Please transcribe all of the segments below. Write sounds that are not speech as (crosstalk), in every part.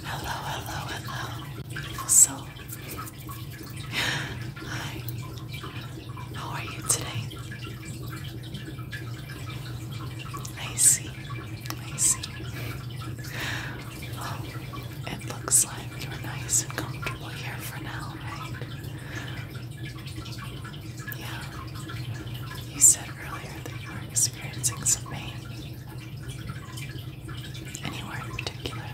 Hello, hello, hello, beautiful Hi, how are you today? I see, I see. Oh, it looks like you're nice and comfortable here for now, right? Yeah. You said earlier that you were experiencing some pain. Anywhere in particular.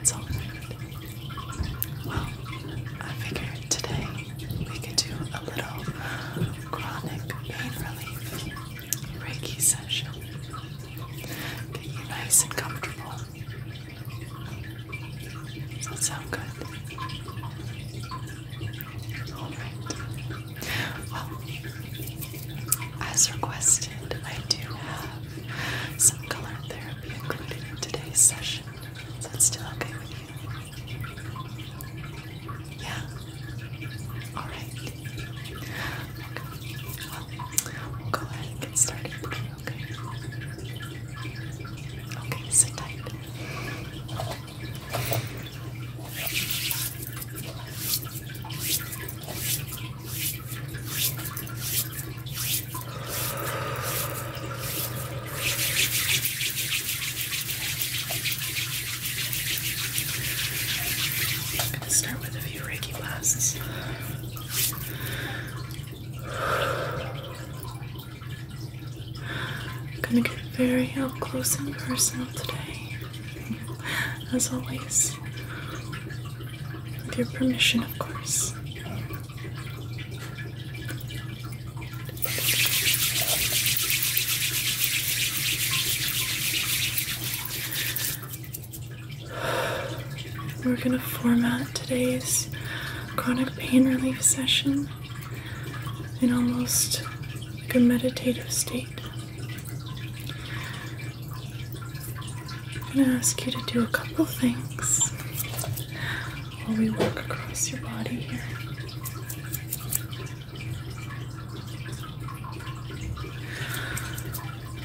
It's all Well, I figured today we could do a little chronic pain relief. Reiki session. Get you nice and comfortable. Does that sound good? Alright. Well, as requested, I do have some color therapy included in today's session. that still okay with you? Yeah. All right. Well, we'll go ahead and get started. Okay. Okay. Sit tight. Okay. I'm going to start with a few Reiki blasts. I'm going to get very up close and personal today, as always. With your permission, of course. We're going to format today's chronic pain relief session in almost a meditative state. I'm going to ask you to do a couple things while we work across your body here.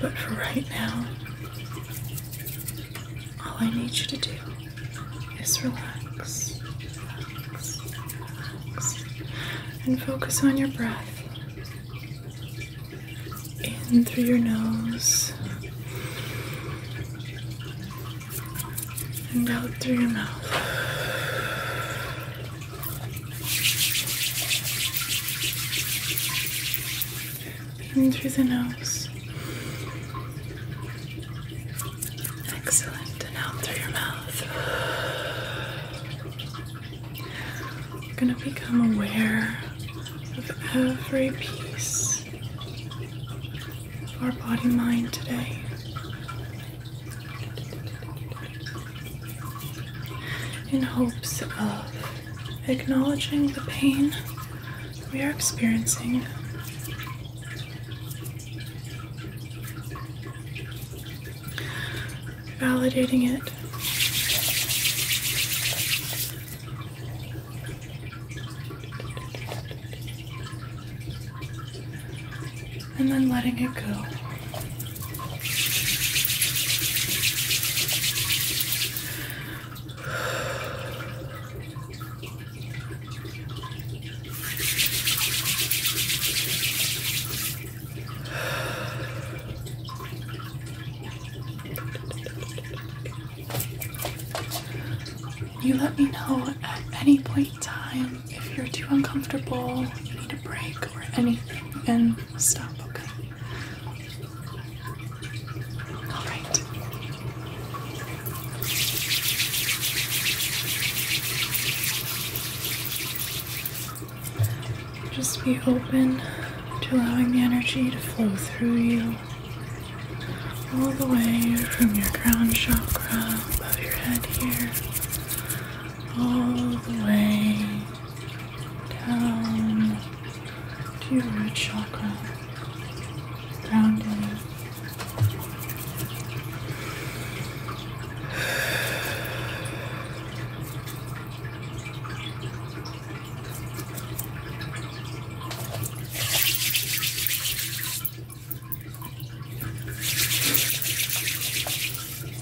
But for right now, all I need you to do is relax, relax, relax, and focus on your breath. In through your nose and out through your mouth. In through the nose. Excellent. And out through your mouth. You're going to become aware of every piece of our body mind today in hopes of acknowledging the pain we are experiencing. Validating it and then letting it go. You let me know at any point in time if you're too uncomfortable, you need a break, or anything and stop, okay? All right. Just be open to allowing the energy to flow through you all the way from your crown chakra above your head here all the way down to your root chakra, grounded.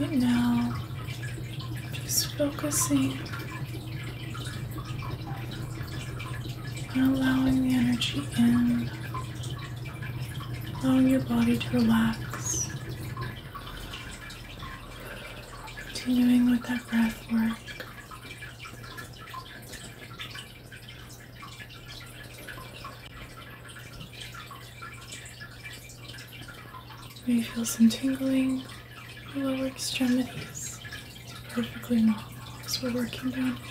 Right now, just focusing on allowing the energy in, allowing your body to relax, continuing with that breath work. May feel some tingling in the lower extremities. It's perfectly normal as we're working down here.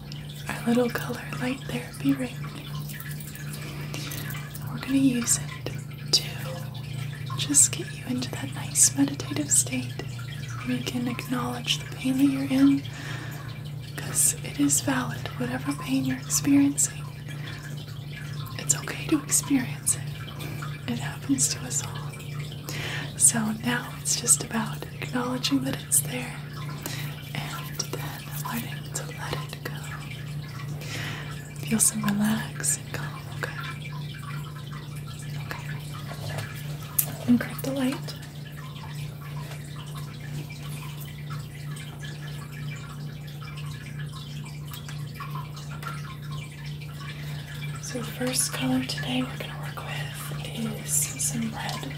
our little color light therapy ring. We're going to use it to just get you into that nice meditative state. We can acknowledge the pain that you're in because it is valid, whatever pain you're experiencing. It's okay to experience it, it happens to us all. So now it's just about acknowledging that it's there and and learning to let it go. Feel some relax and calm, okay? Okay. And grab the light. So the first color today we're going to work with is some red.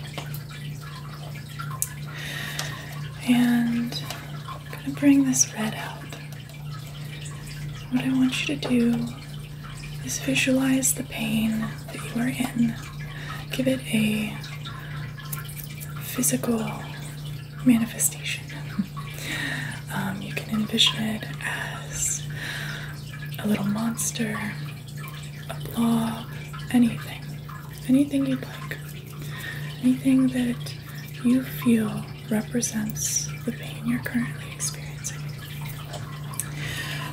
And I'm going to bring this red out. What I want you to do is visualize the pain that you are in, give it a physical manifestation. (laughs) Um, you can envision it as a little monster, a blob, anything anything you'd like, anything that you feel represents the pain you're currently experiencing.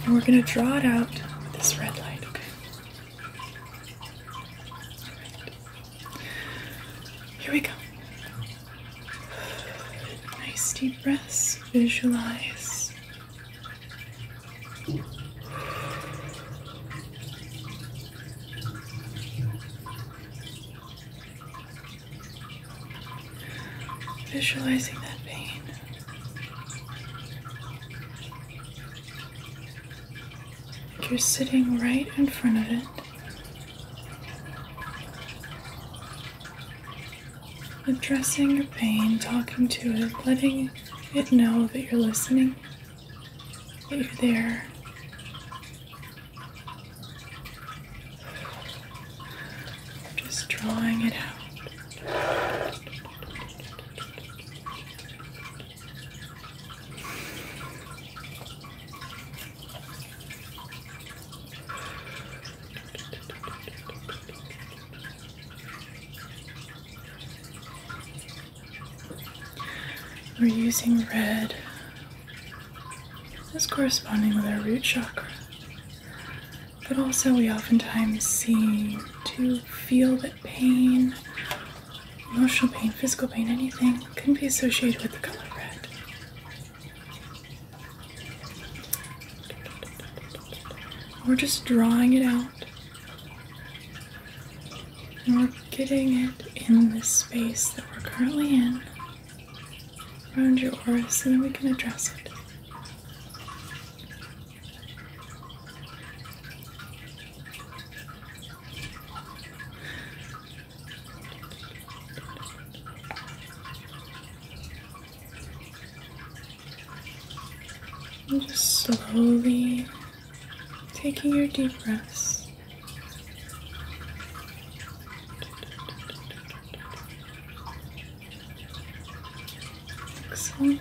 And we're going to draw it out with this red light, okay? Here we go. Nice deep breaths. Visualize Visualizing that pain. Like you're sitting right in front of it. Addressing your pain, talking to it, letting it know that you're listening later there. Just drawing it out. We're using red as corresponding with our root chakra. But also, we oftentimes seem to feel that pain, emotional pain, physical pain, anything can be associated with the color red. We're just drawing it out we're getting it in this space that we're currently in around your aura so we can address it. just slowly taking your deep breaths. Excellent.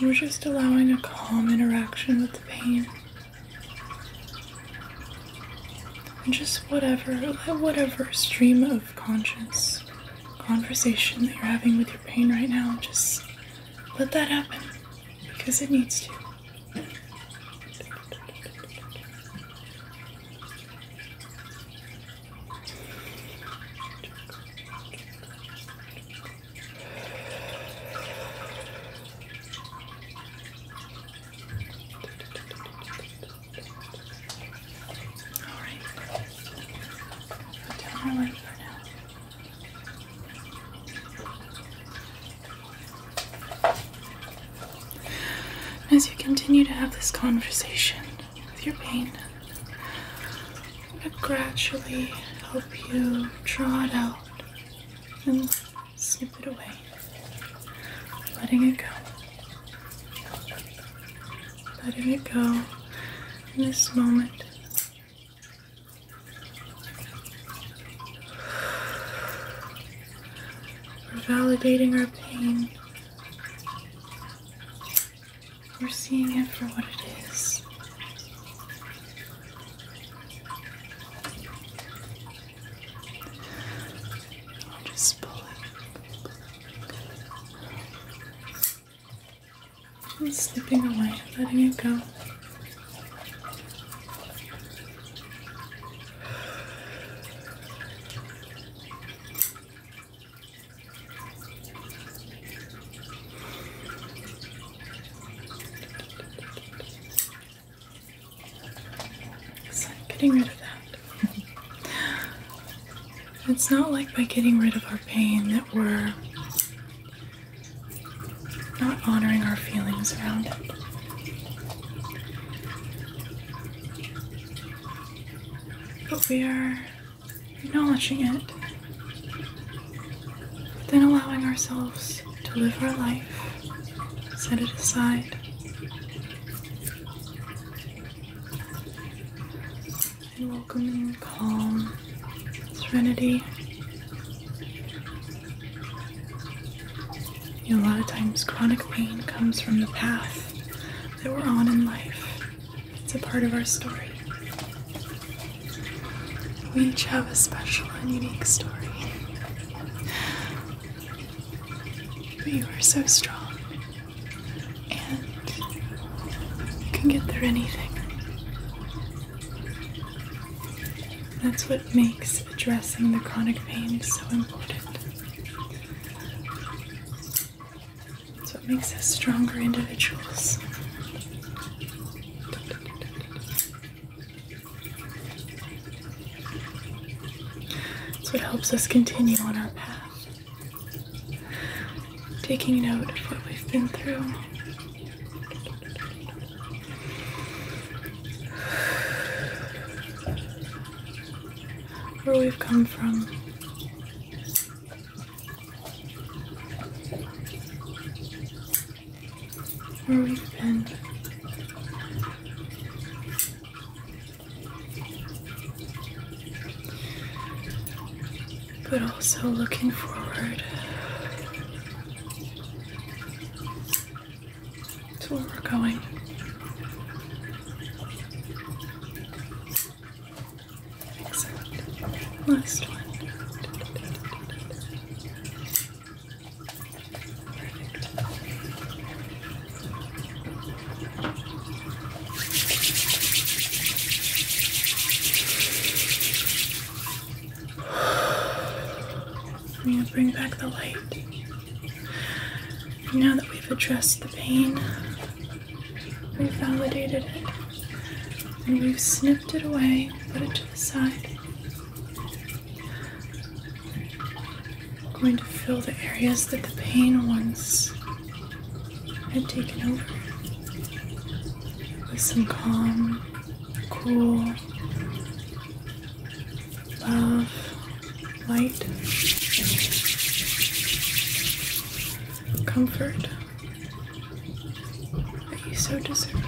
You're just allowing a calm interaction with the pain. And just whatever, whatever stream of consciousness conversation that you're having with your pain right now, just let that happen because it needs to. (laughs) As you continue to have this conversation with your pain, I'm going to gradually help you draw it out and snip it away, letting it go letting it go in this moment. We're validating our pain. We're seeing it for what it is. Just pulling, i and slipping away, letting it go. So getting rid of that it's not like by getting rid of our pain that we're not honoring our feelings around it. But we are acknowledging it, then allowing ourselves to live our life, set it aside, a welcoming, calm serenity. You know, a lot of times, chronic pain comes from the path that we're on in life. It's a part of our story. We each have a special and unique story. But you are so strong and you can get through anything. That's what makes addressing the chronic pain so important. It's what makes us stronger individuals. It's what helps us continue on our path taking note of what we've been through. Where we've come from. Where we've been but also looking forward to where we're going. Last one. I'm going to bring back the light. now that we've addressed the pain, we've validated it, and we've snipped it away, put it to the side. I'm going to fill the areas that the pain once had taken over with some calm, cool, love, light, comfort you so deserve.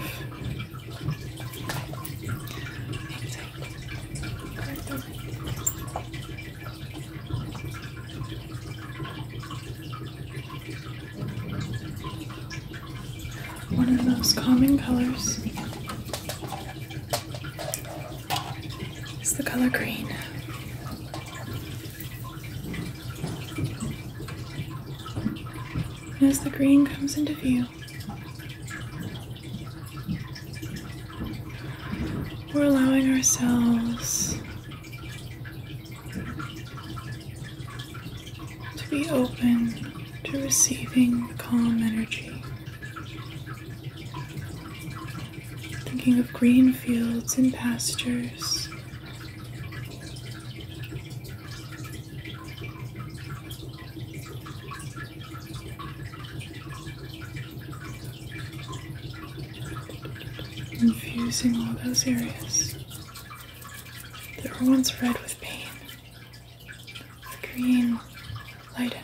Exhale. One of those common colors is the color green. as the green comes into view, we're allowing ourselves to be open to receiving the calm energy. Thinking of green fields and pastures infusing all those areas that were once red with pain with green light energy.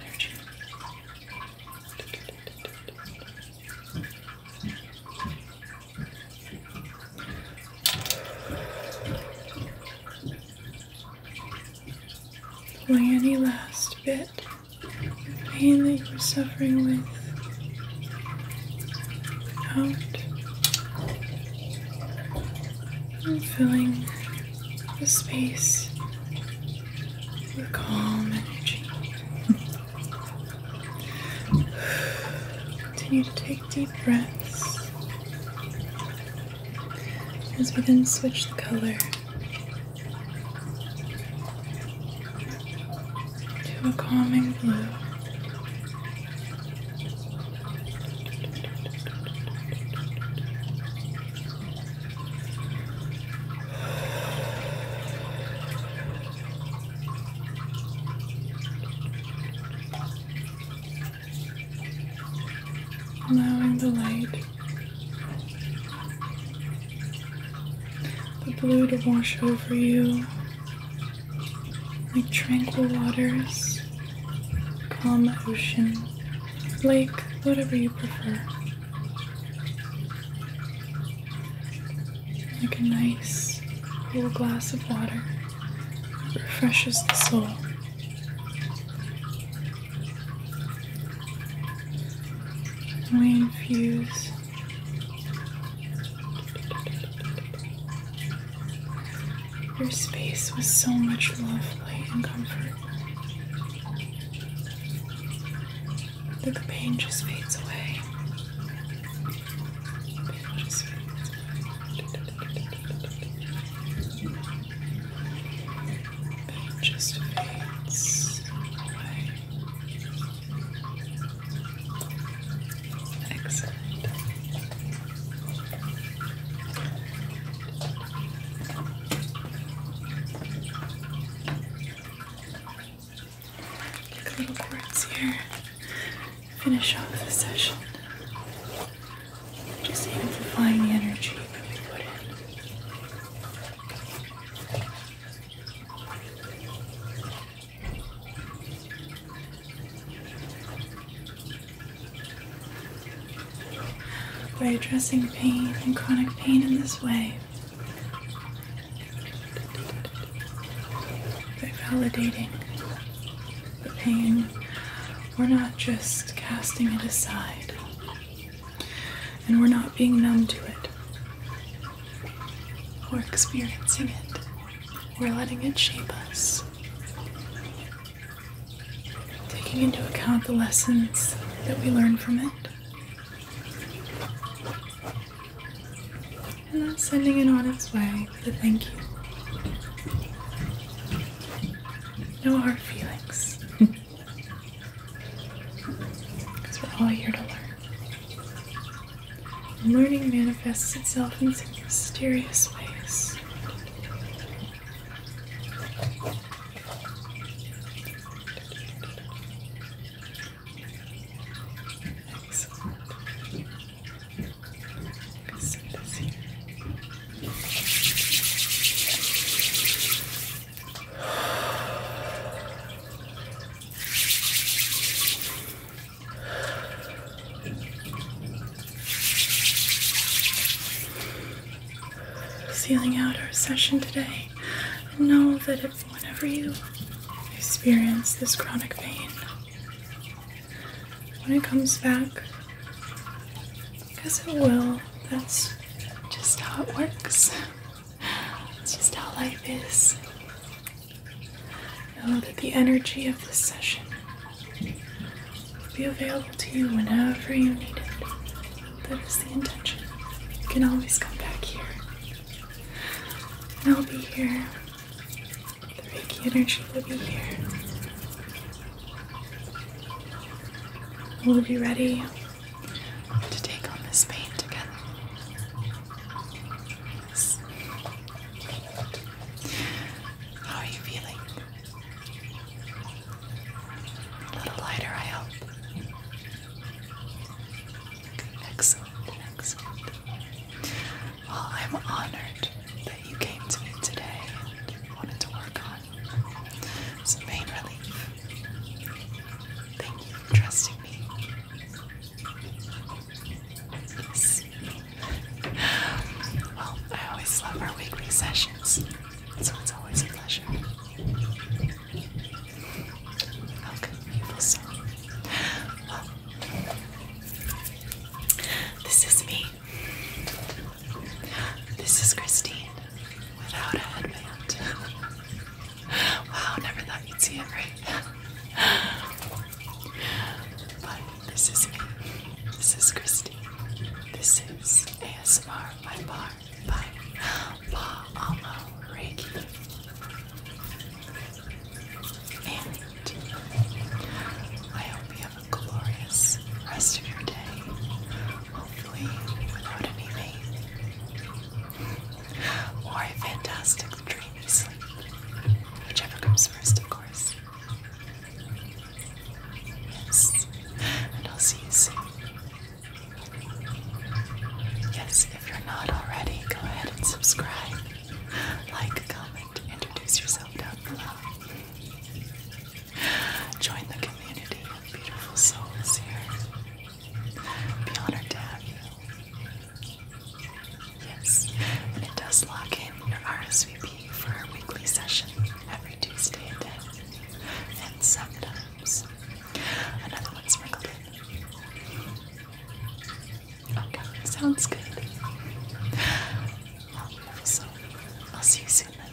any last bit the pain that you're suffering with out and filling the space with calm energy. Continue to take deep breaths as we then switch the color to a calming blue. Allowing the light the blue to wash over you, like tranquil waters, calm ocean, lake, whatever you prefer. Like a nice little glass of water refreshes the soul. Main fuse. Your space with so much love, light, and comfort. The pain Just fades away. Just fades away. Excellent. Take little parts here. Finish off the session. Just amplifying the energy that we put in. By addressing pain and chronic pain in this way, by validating the pain, we're not just casting it aside, and we're not being numb to it. We're experiencing it, we're letting it shape us. Taking into account the lessons that we learn from it. And then sending it on its way with a thank you. No hard feelings. (laughs) Because we're all here to learn. And learning manifests itself in some mysterious ways. Excellent. Sealing out our session today, and know that if whenever you experience this chronic pain, when it comes back, because it will, that's just how it works. It's just how life is. Know that the energy of this session will be available to you whenever you need it. That is the intention. You can always come back here. And I'll be here. The Reiki energy will be here. We'll be ready to take on this pain together. How are you feeling? A little lighter, I hope. Excellent, excellent. Well, I'm honored that you came to me today and wanted to work on some pain relief. Thank you for trusting me. Yes. Well, I always love our weekly sessions, so it's always a pleasure. Welcome, beautiful soul. Well, this is me. This is Christine without a headband. (laughs) wow, never thought you'd see it, right? but this is me. This is Christy. This is ASMR by Bar by Pa Alma Reiki. And I hope you have a glorious rest of your day hopefully without any pain or a fantastic dreamy sleep, whichever comes first, of course. Yes, and I'll see you soon. Yes, if you're not already, go ahead and subscribe, like, comment, introduce yourself down below. Join the community of beautiful souls here. Be honored to have you. Yes, and it does lock in your RSVP for our weekly session every Tuesday at 10 and sometimes another one sprinkled in. Okay, sounds good. Well, so I'll see you soon then.